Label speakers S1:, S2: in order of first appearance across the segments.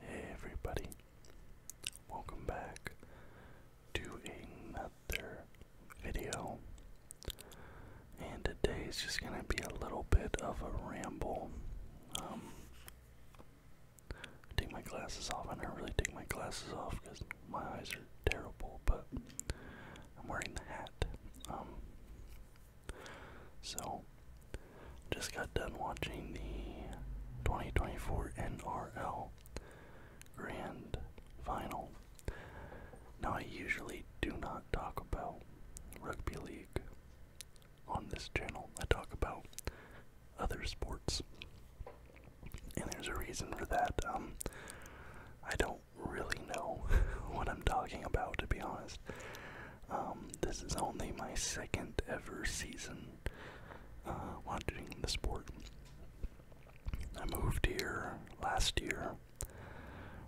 S1: Hey everybody, welcome back to another video. And today is just going to be a little bit of a ramble. Um, take my glasses off. I never really take my glasses off because my eyes are terrible, but I'm wearing the hat. Um, so, just got done watching the 2024 NRL Grand Final. Now, I usually do not talk about rugby league on this channel, I talk about other sports. And there's a reason for that. Um, I don't really know what I'm talking about, to be honest. Um, this is only my second ever season uh, watching the sport. I moved here last year,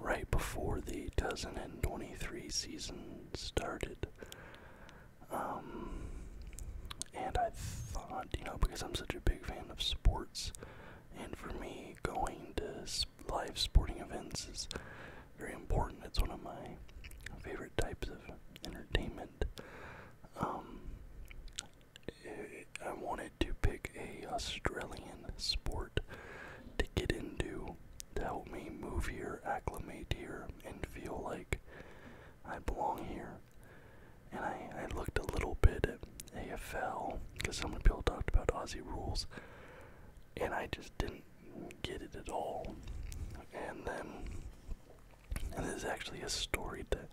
S1: right before the 2023 season started. Um, and I thought, you know, because I'm such a big fan of sports, and for me, going to live sporting events is very important. It's one of my favorite types of entertainment. Um, it, I wanted to pick a Australian sport to get into to help me move here, acclimate here, and feel like I belong here. And I, I looked a little bit at AFL because some people talked about Aussie rules, and I just didn't get it at all. And then, and this is actually a story that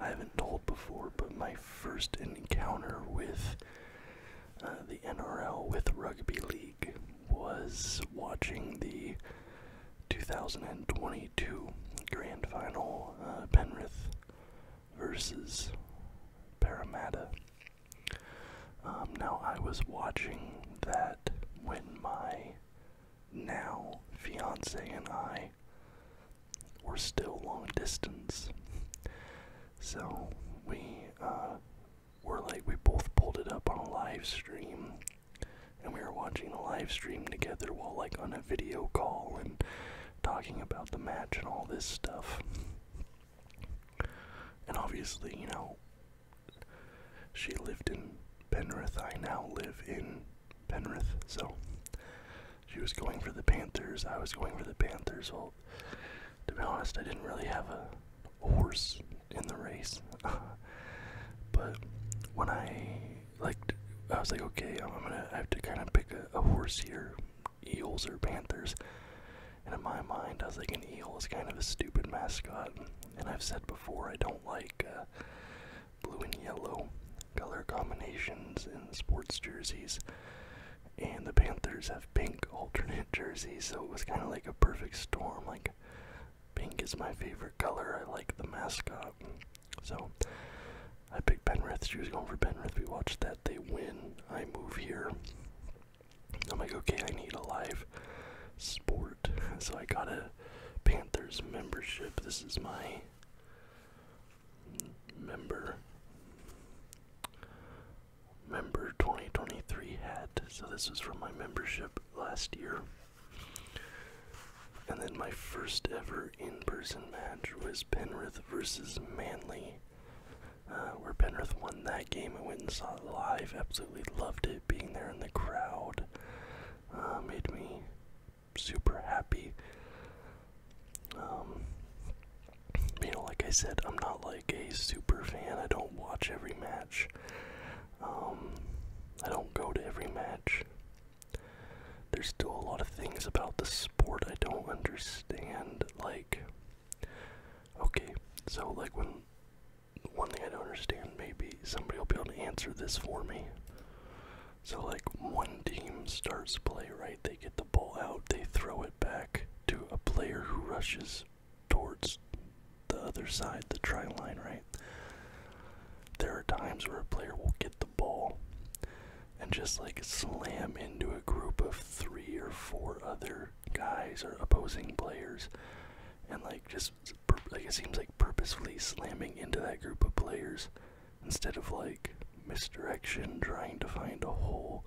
S1: I haven't told before, but my first encounter with uh, the NRL, with rugby league, was watching the 2022 Grand Final uh, Penrith versus Parramatta. Um, now, I was watching that when my now fiance and I were still long distance. So we uh, were like, we both pulled it up on a live stream. And we were watching a live stream together while, like, on a video call and talking about the match and all this stuff. And obviously, you know, she lived in Penrith. I now live in Penrith. So she was going for the Panthers. I was going for the Panthers. Well, to be honest, I didn't really have a horse in the race. but when I, like, I was like, okay, I'm, gonna have to kind of pick a horse here Eels or Panthers. And in my mind, I was like, an eel is kind of a stupid mascot. And I've said before, I don't like uh, blue and yellow color combinations in sports jerseys. And the Panthers have pink alternate jerseys, so it was kind of like a perfect storm. Like, pink is my favorite color, I like the mascot. So, I picked Penrith. She was going for Penrith. We watched that. They win. I move here. I'm like, okay, I need a live sport. So I got a Panthers membership. This is my member member 2023 hat. So this was from my membership last year. And then my first ever in person match was Penrith versus Manly. Uh, where Penrith won that game. I went and saw it live. Absolutely loved it. Being there in the crowd uh, made me super happy. Um, you know, like I said, I'm not like a super fan. I don't watch every match. Um, I don't go to every match. There's still a lot of things about the sport I don't understand, like Okay, so like when one thing I don't understand, maybe somebody will be able to answer this for me. So like one team starts play, right? They get the ball out, they throw it back to a player who rushes towards the other side, the try line, right? There are times where a player will get the ball and just like slam into a group of three or four other guys or opposing players and like just like it seems like purposefully slamming into that group of players instead of like misdirection trying to find a hole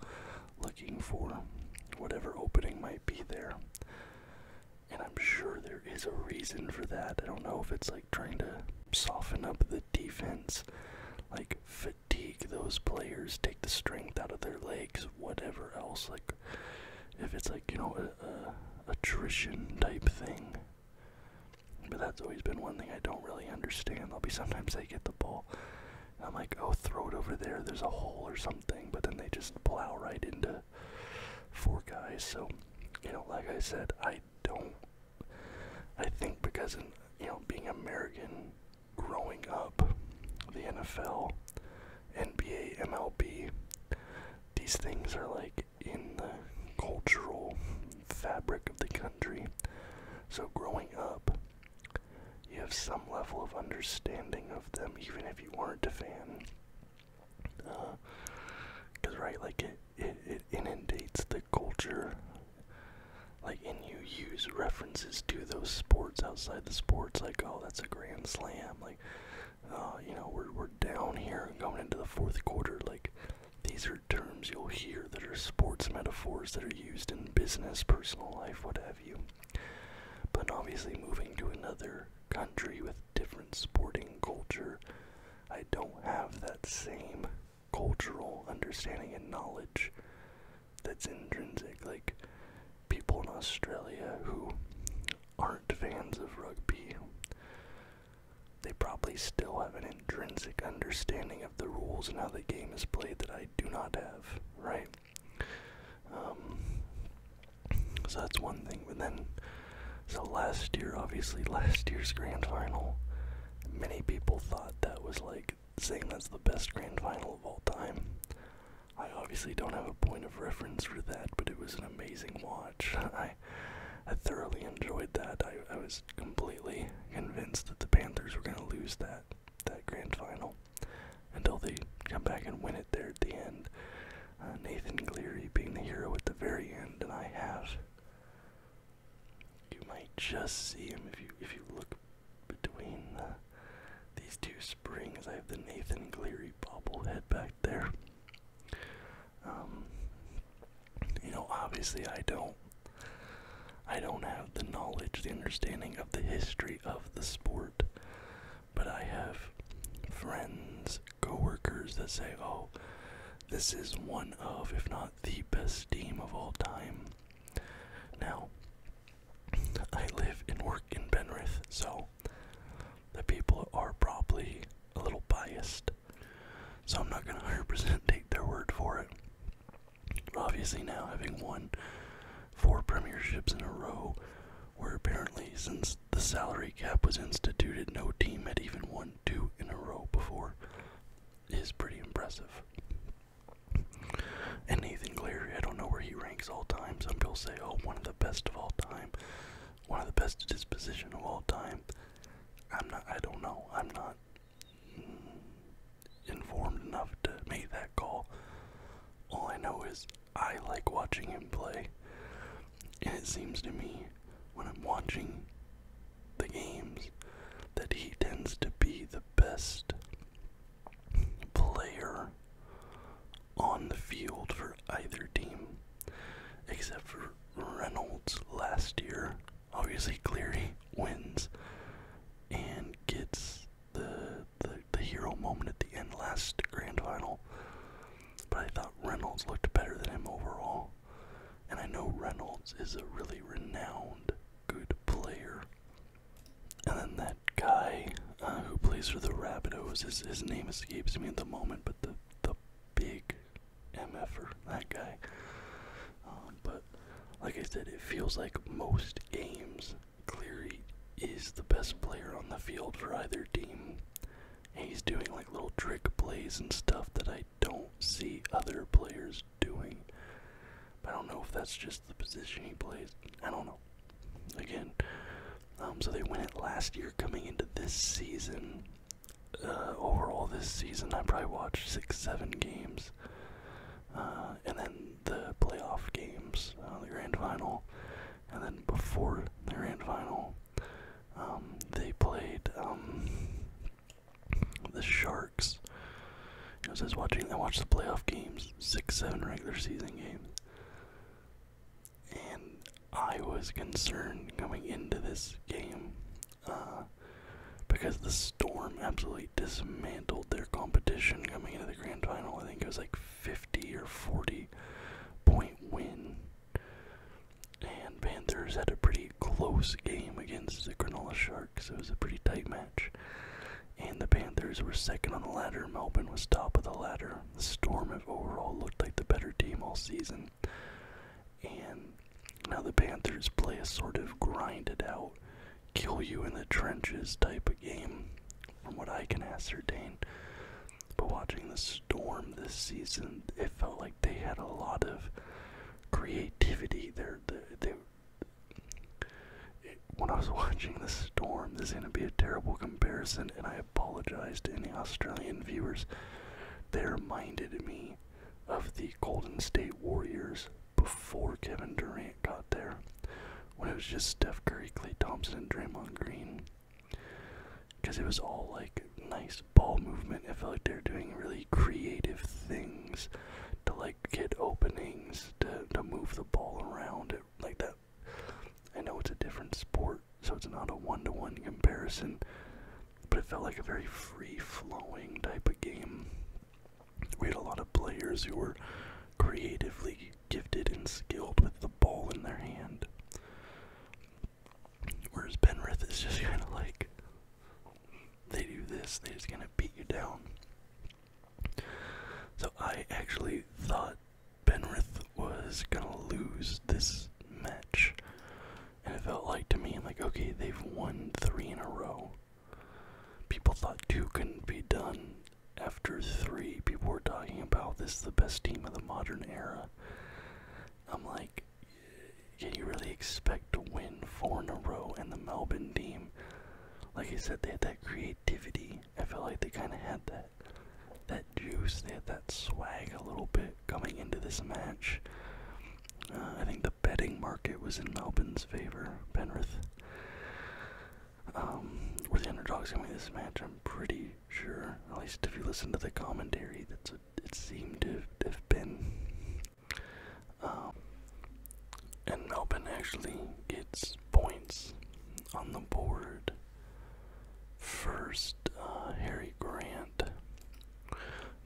S1: looking for whatever opening might be there and i'm sure there is a reason for that i don't know if it's like trying to soften up the defense like fatigue those players, take the strength out of their legs, whatever else. Like, if it's like, you know, a, attrition type thing. But that's always been one thing I don't really understand. there will be sometimes they get the ball. I'm like, oh, throw it over there. There's a hole or something. But then they just plow right into four guys. So, you know, like I said, I don't. I think because, in, you know, being American, growing up, the NFL, NBA, MLB, these things are like in the cultural fabric of the country. So growing up, you have some level of understanding of them, even if you weren't a fan. Because, uh, right, like it, it, it inundates the culture like and you use references to those sports outside the sports like oh that's a grand slam like uh, you know we're, we're down here going into the fourth quarter like these are terms you'll hear that are sports metaphors that are used in business personal life what have you but obviously moving to another country with different sporting culture i don't have that same cultural understanding and knowledge that's intrinsic. Like people in Australia who aren't fans of rugby, they probably still have an intrinsic understanding of the rules and how the game is played that I do not have, right? Um, so that's one thing. But then, so last year, obviously, last year's grand final, many people thought that was like like saying that's the best grand final of all time. I obviously don't have a point of reference for that, but it was an amazing watch. I I thoroughly enjoyed that. I, was completely convinced that the Panthers were gonna lose that that grand final until they come back and win it there at the end. Uh, Nathan Cleary being the hero at the very end, and I have you might just see him if you if you look between these two springs. I have the Nathan Cleary bobblehead back there. Um, you know, obviously, I don't, I don't have the knowledge, the understanding of the history of the sport, but I have friends, coworkers that say, "Oh, this is one of, if not the best team of all time. Now, I live and work in Penrith, so the people are probably a little biased. So I'm not going to 100% take their word for it. obviously, now having won four premierships in a row, where apparently since the salary cap was instituted, no team had even won two in a row before is pretty impressive. And Nathan Cleary, I don't know where he ranks all time. Some people say, oh, one of the best of all time, one of the best disposition of all time. I'm not, I don't know. I'm not informed enough to make that call. All I know is I like watching him play. And it seems to me when I'm watching the games that he tends to be the best player on the field for either team, except for Reynolds last year. Obviously, Cleary wins and gets the, the the hero moment at the end last grand final. But I thought Reynolds looked better than him overall. And I know Reynolds is a really renowned good player. And then that guy uh, who plays for the Rabbitohs, his, his name escapes me at the moment, but the, the big MFer, that guy. Um, but like I said, it feels like most games, Cleary is the best player on the field for either team. And he's doing little trick plays and stuff that I don't see other players doing. I don't know if that's just the position he plays. I don't know. Again, um, so they win it last year coming into this season. Uh, overall, this season I probably watched six, seven games. Uh, and then the playoff games, uh, the grand final. And then before the grand final, um, they played um, the Sharks. You know, watching. I watched the playoff games, six, seven regular season games, and I was concerned coming into this game uh, because the Storm absolutely dismantled their competition coming into the grand final. I think it was like 50 or 40 point win and Panthers had a pretty close game against the Granola Sharks. It was a pretty tight match. And the Panthers were second on the ladder. Melbourne was top of the ladder. The Storm have overall looked like the better team all season. And now the Panthers play a sort of grind it out, kill you in the trenches type of game, from what I can ascertain. But watching this Storm this season. It felt like they had a lot of creativity. there. when I was watching the Storm, this is going to be a terrible comparison, and I apologize to any Australian viewers. They reminded me of the Golden State Warriors before Kevin Durant got there, when it was just Steph Curry, Klay Thompson, and Draymond Green because it was all like nice ball movement. I felt like they were doing really creative things to like get openings to to move the ball around it, like that. I know it's a different sport, so it's not a one to -one comparison, but it felt like a very free-flowing type of game. We had a lot of players who were creatively gifted and skilled with the ball in their hand. Whereas Benrith is just kind of like, they do this, they just gonna beat you down. So I actually thought Benrith was gonna lose this match. And it felt like to me, like, okay, they've won three in a row. People thought two couldn't be done after three. People were talking about this is the best team of the modern era. I'm like, can you really expect to win four in a row? in the Melbourne team, like I said, they had that creativity. I felt like they kind of had that that juice. They had that swag a little bit coming into this match. Uh, I think the betting market was in Melbourne's favor. Penrith um, were the underdogs going to this match. I'm pretty sure. At least if you listen to the commentary, that's a it seemed to have been. Um, and Melbourne actually gets points on the board. First, uh, Harry Grant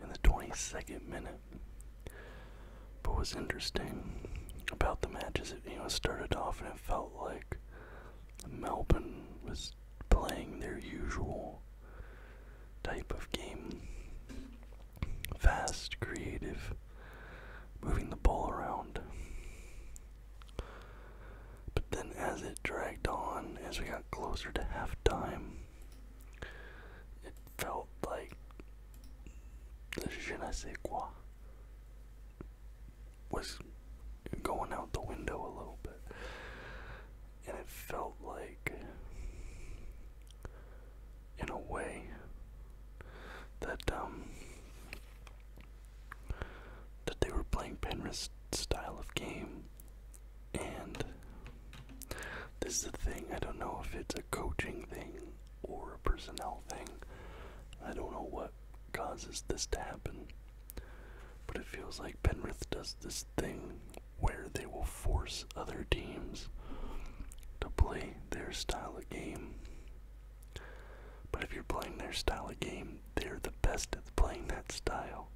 S1: in the 22nd minute. But what's interesting about the matches. it you know, started off and it felt like Melbourne was playing their usual type of game. Fast, creative, moving the ball around. But then, as it dragged on, as we got closer to halftime, it felt like the je ne was going out the window a little bit. And it felt like, in a way, that um, that they were playing Penrith's style of game, and this is the thing. I don't know if it's a coaching thing or a personnel thing. I don't know what causes this to happen. But it feels like Penrith does this thing where they will force other teams to play their style of game. But if you're playing their style of game, they're the best at playing that style.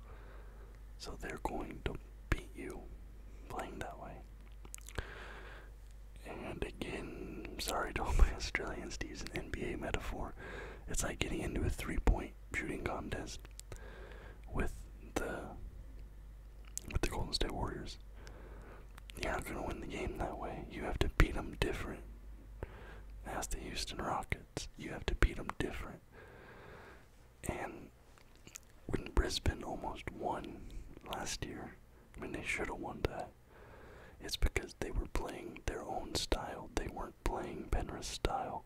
S1: So they're going to beat you playing that way. And again, sorry to all my Australians to use an NBA metaphor. It's like getting into a three point shooting contest with the with the Golden State Warriors. You're not gonna win the game that way. You have to beat them different. That's the Houston Rockets. You have to beat them different. And when Brisbane almost won last year, I mean they should have won that. It's because they were playing their own style. They weren't playing Benra's style.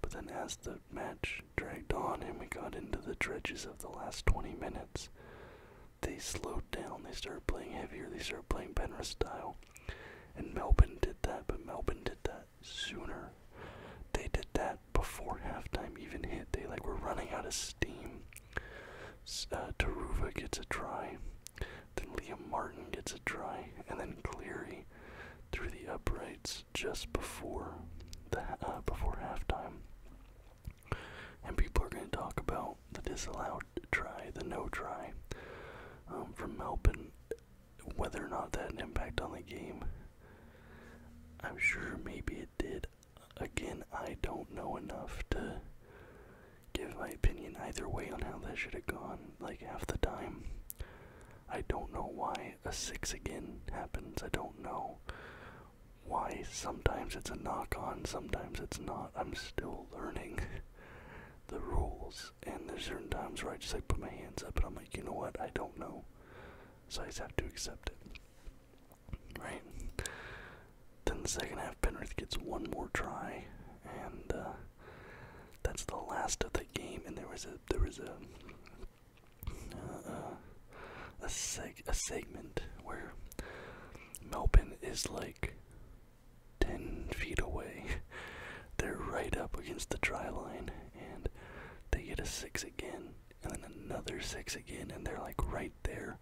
S1: But then as the match dragged on and we got into the dredges of the last 20 minutes, they slowed down. They started playing heavier. They started playing Benra style. And Melbourne did that, but Melbourne did that sooner. They did that before halftime even hit. They like were running out of steam. Uh, Taruva gets a try. Then Liam Martin gets a try, and then Cleary through the uprights just before the uh, before halftime. And people are going to talk about the disallowed try, the no try um, from Melbourne, whether or not that had an impact on the game. I'm sure maybe it did. Again, I don't know enough to give my opinion either way on how that should have gone like half the time. I don't know why a six again happens. I don't know why sometimes it's a knock on, sometimes it's not. I'm still learning the rules, and there's certain times where I just like put my hands up and I'm like, you know what, I don't know. So I just have to accept it. Right? Then the second half, Penrith gets one more try, and uh, that's the last of the game, and there was a there was a uh, a seg a segment where Melbourne is like ten feet away. They're right up against the dry line, and they get a six again, and then another six again, and they're like right there.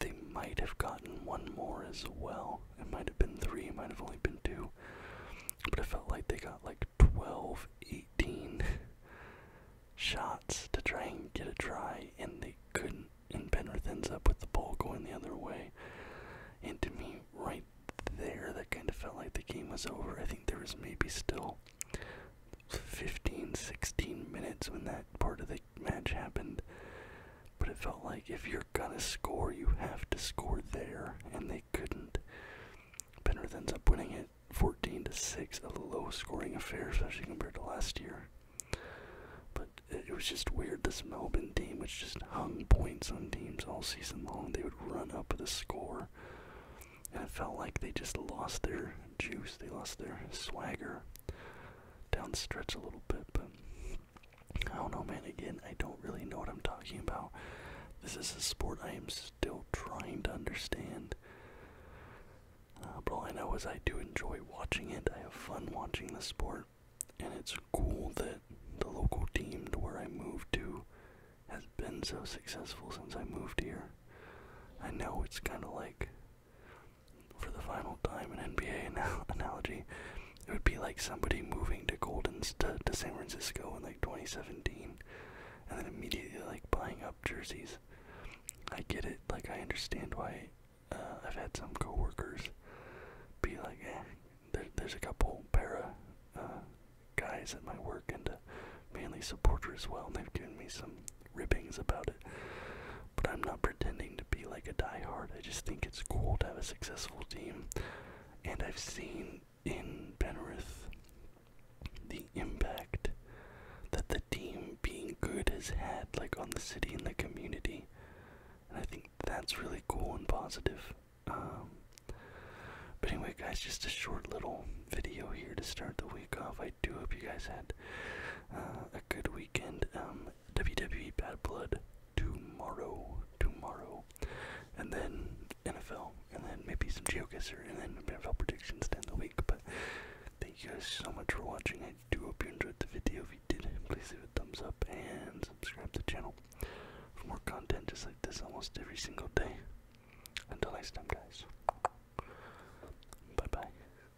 S1: They might have gotten one more as well. It might have been three, might have only been two. But it felt like they got like 12, 18 shots to try and get a try, and they couldn't. And Penrith ends up with the ball going the other way. And to me, right there, that kind of felt like the game was over. I think there was maybe still 15, 16 minutes when that part of the match happened. But it felt like if you're gonna score, you have to score there, and they couldn't. Penrith ends up winning it 14 to 6, a low scoring affair, especially compared to last year. But it was just weird. This Melbourne team, which just hung points on teams all season long, they would run up the score. And it felt like they just lost their juice, they lost their swagger down the stretch a little bit, but I don't know, man. Again, I don't really know what I'm talking about. This is a sport I am still trying to understand. Uh, but all I know is I do enjoy watching it. I have fun watching the sport, and it's cool that the local team to where I moved to has been so successful since I moved here. I know it's kind of like for the final time, an NBA analogy, it would be like somebody moving to Golden's to, San Francisco in like 2017, and then immediately like buying up jerseys. I get it. Like I understand why. Uh, I've had some coworkers be like, eh, there's a couple para uh, guys at my work and uh, mainly supporter as well, and they've given me some ribbings about it. But I'm not pretending to be like a die-hard. I just think it's cool to have a successful team. And I've seen in Penrith the impact that the team being good has had like on the city and the community. And I think that's really cool and positive. Um, but anyway, guys, just a short little video here to start the week off. I do hope you guys had uh, a good weekend. Um, WWE Bad Blood tomorrow, tomorrow, and then NFL, and then maybe some geocaster, and then NFL predictions down the week. But thank you guys so much for watching. I do hope you enjoyed the video. If you did, please give a thumbs up and subscribe to the channel for more content just like this almost every single day. Until next time, guys. Bye bye.